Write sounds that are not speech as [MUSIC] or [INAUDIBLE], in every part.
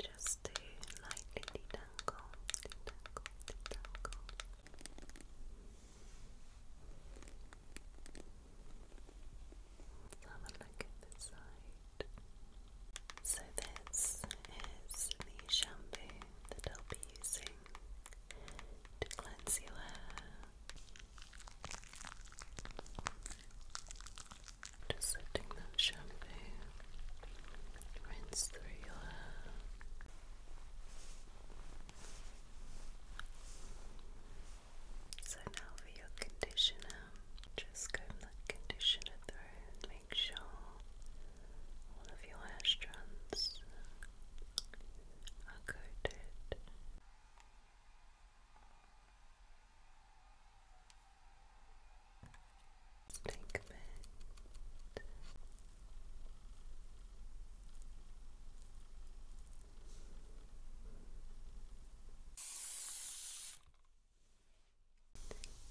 Just to lightly detangle, detangle, detangle. Let's have a look at the side. So this is the shampoo that I'll be using to cleanse your hair. Just letting that shampoo, rinse through your hair. So now for your conditioner, just comb that conditioner through make sure all of your hair strands are coated ligament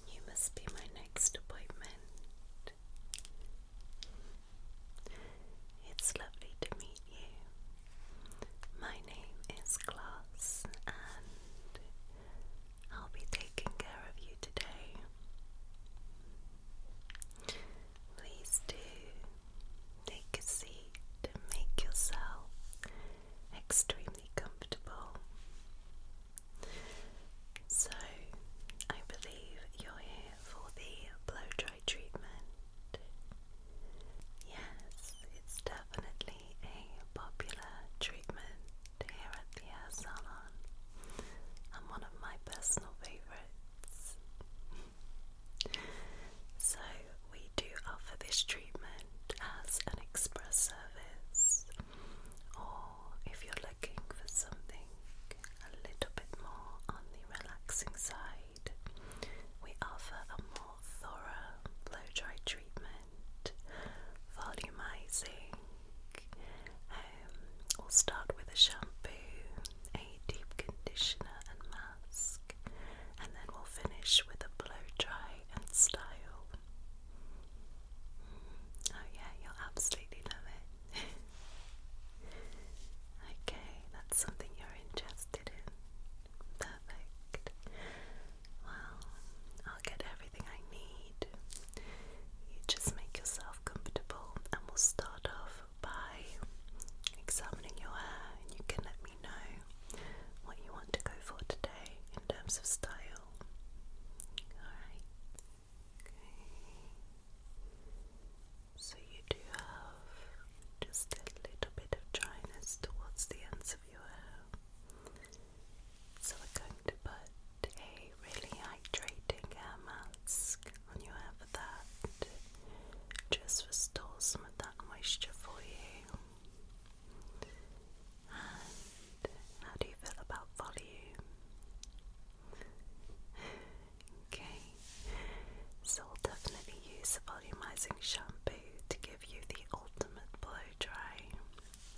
you must be my next appointment. It's lovely to meet you. My name is Glass, and I'll be taking care of you today. Please do take a seat and make yourself extremely comfortable. So, I believe you're here for the blow dry treatment. Yes, it's time definitely a popular treatment here at the salon and one of my personal favourites. [LAUGHS] so, we do offer this treatment as an express service, or if you're looking for something a little bit more on the relaxing side, we offer a more thorough blow dry treatment volumizing. Um, we'll start with a shampoo, a deep conditioner and mask, and then we'll finish with a blow dry and style. Mm-hmm. Oh yeah, you'll absolutely love it. [LAUGHS] okay, that's something you're interested in. Perfect. Well, I'll get everything I need. You just make yourself comfortable and we'll start off by examining your hair and you can let me know what you want to go for today in terms of style. Alright. Okay. So you do have just a little bit of dryness towards the ends of your hair. So we're going to put a really hydrating hair mask on your hair for that. Just restores some of that moisture for you. And how do you feel about volume? Okay, so I'll definitely use a volumizing shampoo to give you the ultimate blow dry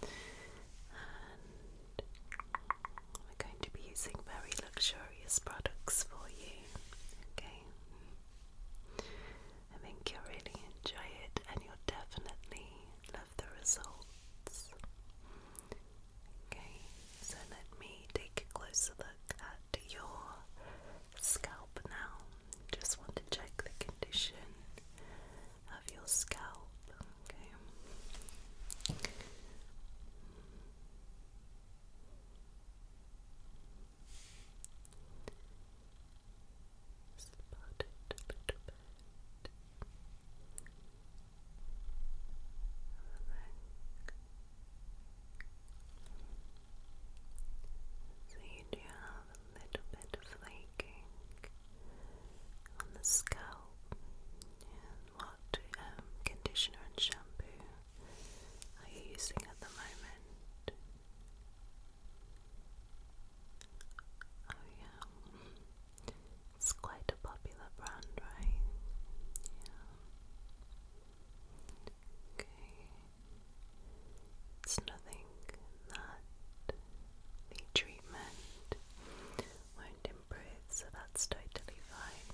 we're going to be using very luxurious products for you. Okay, I think you'll really enjoy it, and you'll definitely love the results. Okay, so let me take a closer look at your scalp now. Just want to check the condition of your scalp. Okay. Just it a little bit. So you do have a little bit of flaking on the scalp what um, conditioner and shampoo are you using at the moment? Oh yeah, it's quite a popular brand, right? Yeah. Okay. It's nothing that the treatment won't improve, so that's totally fine.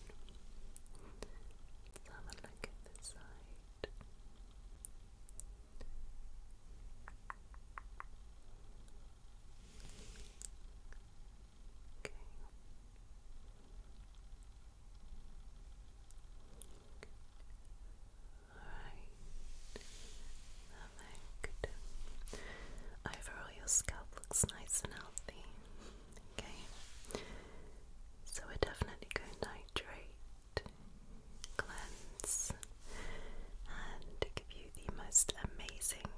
Let's have a look at the side. Okay. All right. Perfect. Overall, your scalp looks nice and healthy. Okay. So, we definitely go to hydrate, cleanse, and give you the most amazing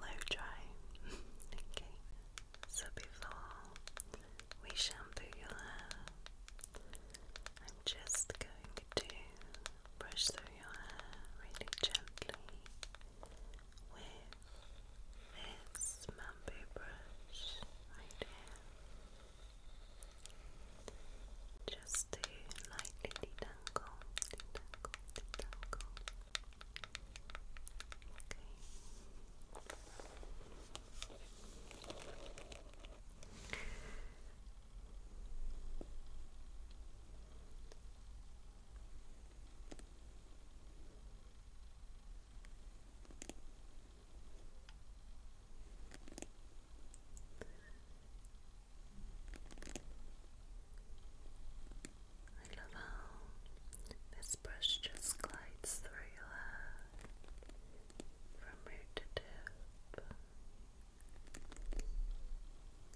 low dry. okay. So, before we shampoo your hair, I'm just going to brush through your hair really gently with this bamboo brush Just to lightly detangle, detangle, detangle. Okay. I love how this brush just glides through your hair from root to tip.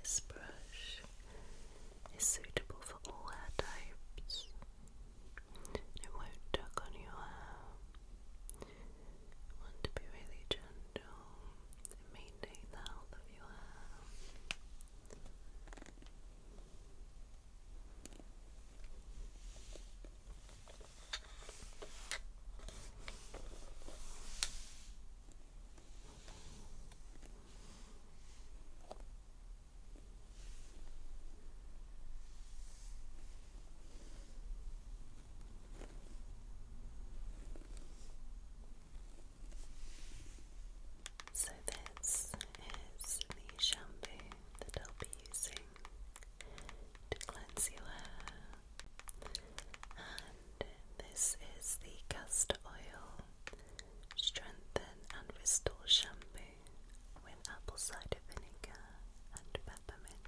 This brush is suitable for all hair types. It won't tug on your hair. want to be really gentle and the health of your hair. So, this is the shampoo that I'll be using to cleanse your hair this is the castor oil strengthen and restore shampoo with apple cider vinegar and Peppermint.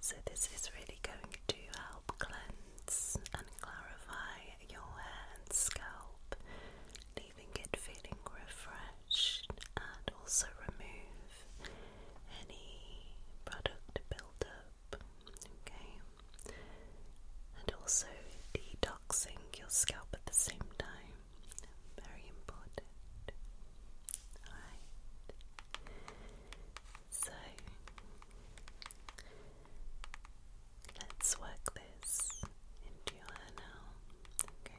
So this is really going to help cleanse and clarify your hair and scalp, leaving it feeling refreshed and also remove any product buildup, okay? And also detoxing your scalp at the same time. Very important. Alright. So let's work this into your hair now. Okay.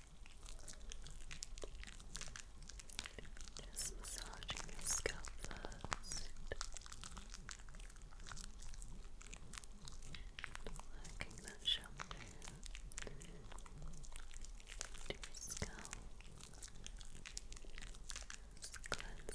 Just massaging your scalp first. Working that shampoo into your scalp. cleansing.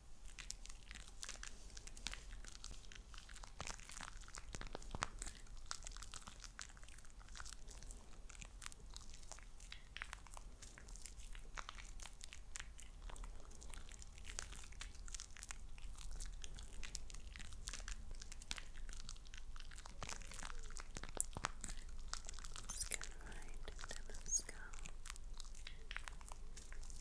Let's go right into the scalp. Right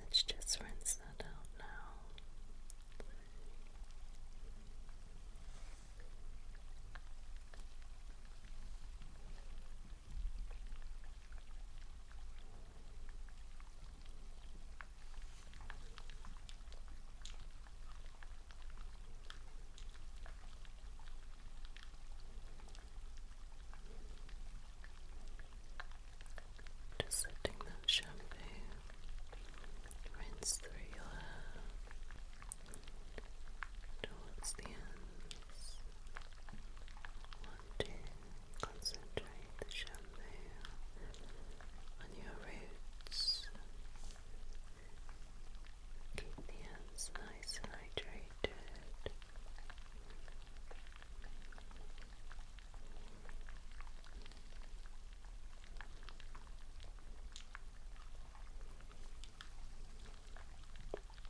let's just rinse that out now. Just letting that shampoo rinse through your hair towards the ends to concentrate the shampoo on your roots. Keep the hands nice and hydrated. How's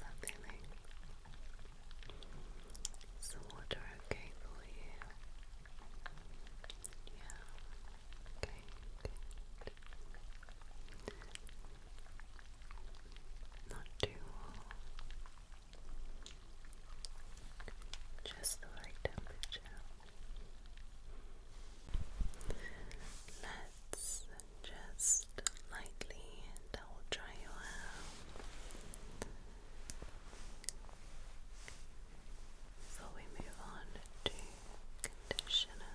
that Is the water okay for you? Yeah. Okay, not too warm. Just the right temperature. Let's just lightly double dry your hair before we move on to conditioner.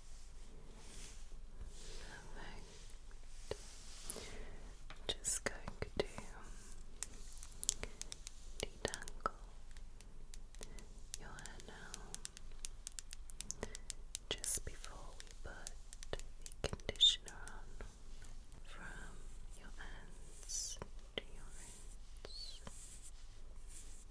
Perfect. Just going to detangle your hair now just before we put conditioner on from your ends to your roots.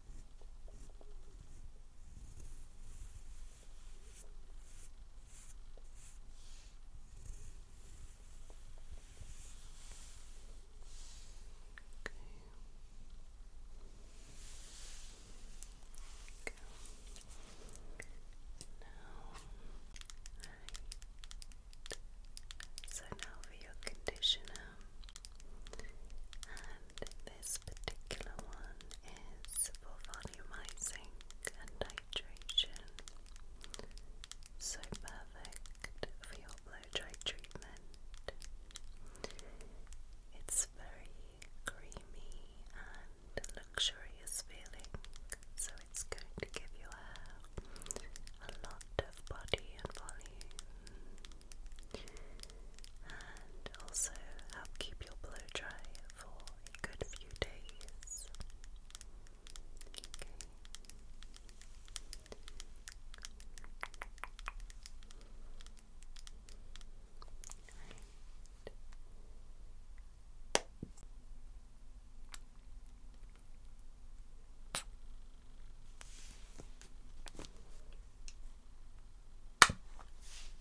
right. So now for your conditioner this particular one is for volumizing and hydration. So perfect for your blow dry treatment. It's very creamy and luxurious feeling, so it's going to give your hair a lot of body and volume and also help keep your blow dry for a good few days. Okay.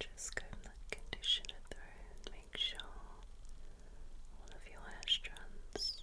Just comb the conditioner through make sure all of your hair strands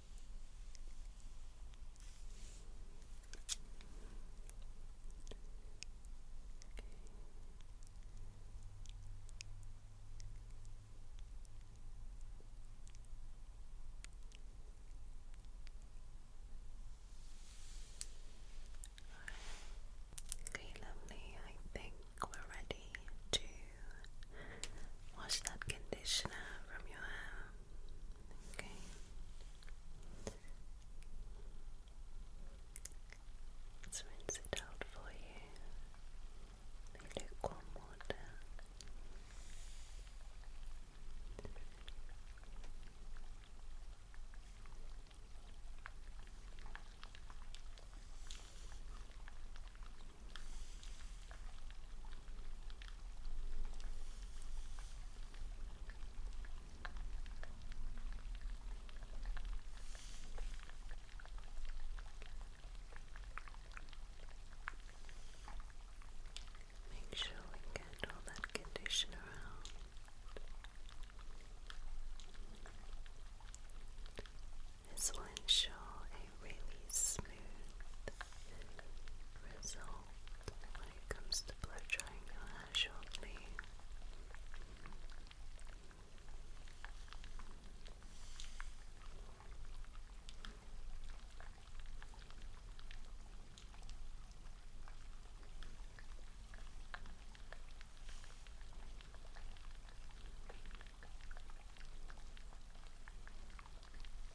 Okay, lovely. I think we're ready to wash that conditioner from your hair. Okay. Let's rinse it out for you. With lukewarm water. Make sure we get all that conditioner out. This will ensure a really smooth result when it comes to blood triangular shortly.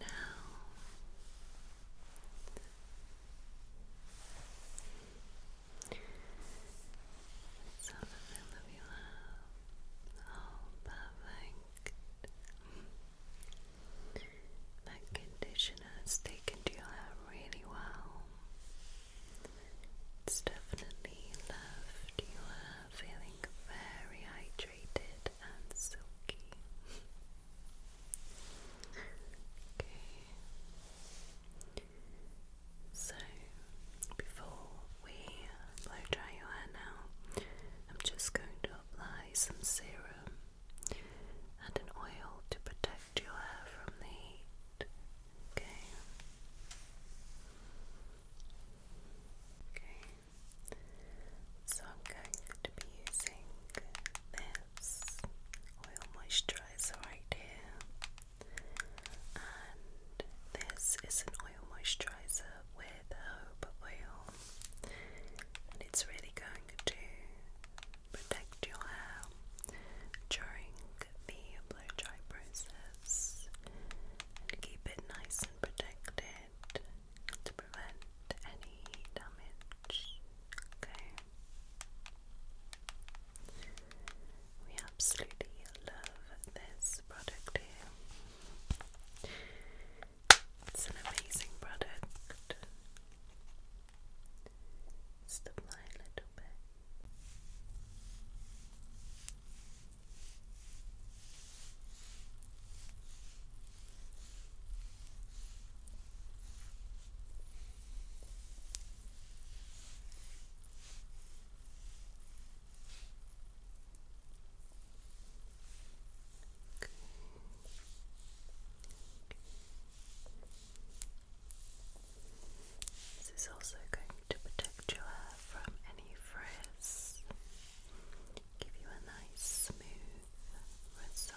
Now so I love you love. Oh perfect. That conditioner has taken to your hair really well. It's definitely left you feeling very hydrated and silky. Okay. So, before we blow dry your hair now, I'm just going to apply some serum and an oil to protect your hair from the heat. Okay. Okay. So I'm going to be using this oil moisturizer right here. And this is an oil moisturizer with herb oil. And it's really going to protect your hair during the blow dry process and keep it nice and protected to prevent any damage. Okay. We absolutely love this product here. It's an amazing product. apply a little bit. This is also going to protect your hair from any frizz give you a nice smooth result.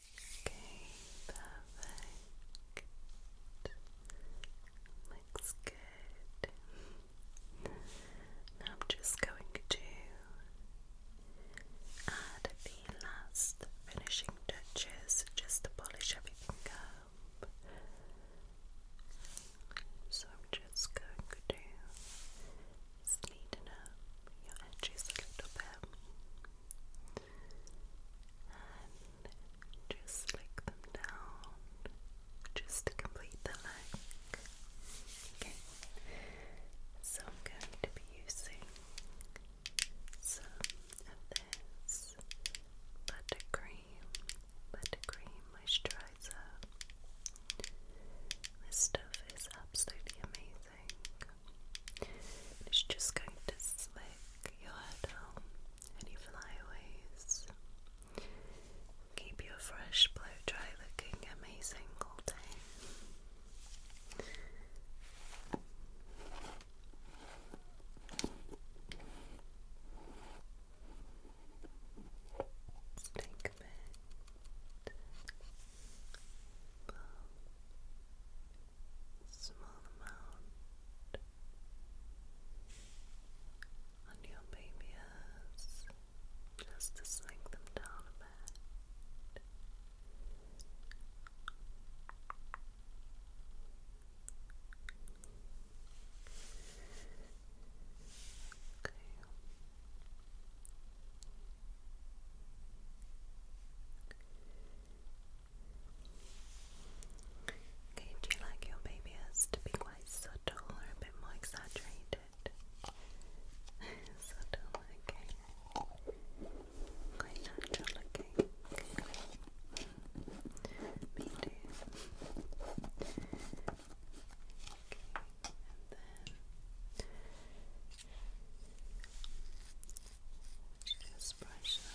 Okay, perfect. Looks good. Now I'm just going to add the last finishing touches just to polish everything up. So I'm just going to sneeden up your edges a little bit and just slick them down just to complete the look. Okay, so I'm going to be using some of this buttercream, buttercream moisturizer. This stuff is absolutely amazing. It's just going to slick your hair down, any flyaways. Keep your fresh blow dry looking amazing all day small amount on your baby just to sink them down bad. Okay. Okay, do you like your baby hairs to be quite subtle or a bit more exaggerated? [LAUGHS] subtle, okay. Quite natural Okay, and then just brush them.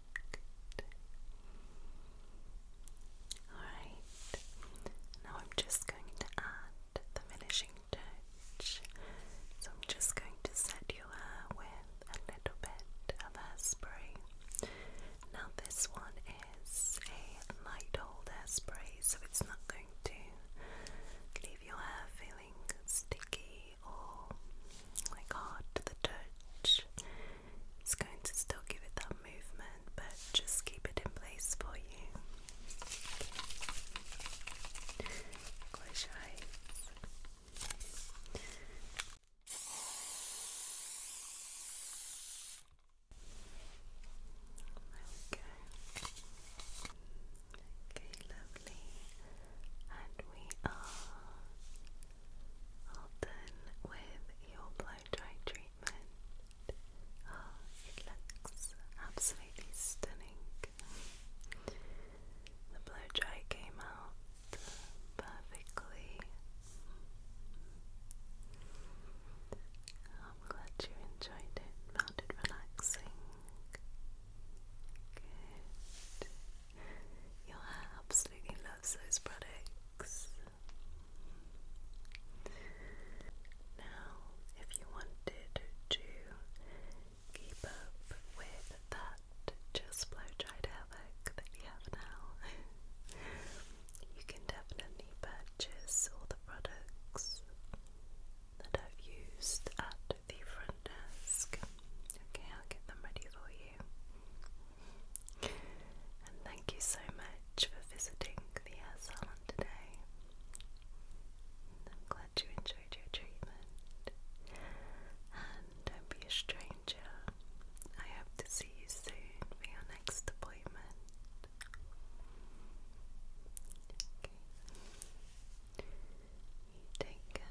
Alright, now I'm just going to add the finishing touch. So I'm just going to set your hair with a little bit of hairspray. Now, this one is a light hold spray, so it's not going to leave your hair feeling sticky or like hard to the touch. It's going to still give it that movement, but just keep it in place for you. There we go. Okay, lovely. And we are all done with your blow dry treatment. Ah, it looks absolutely stunning. The blow dry came out perfectly. I'm glad you enjoyed it, found it relaxing. Good. Your hair absolutely loves those products. Now, if you wanted to keep up with that just blow dried hair work that we have now, you can definitely purchase all the products that I've used at the front desk. Okay, I'll get them ready for you. And thank you so much for visiting the island today. I'm glad you enjoyed your treatment. And don't be a stranger. I hope to see you soon for your next appointment. take care.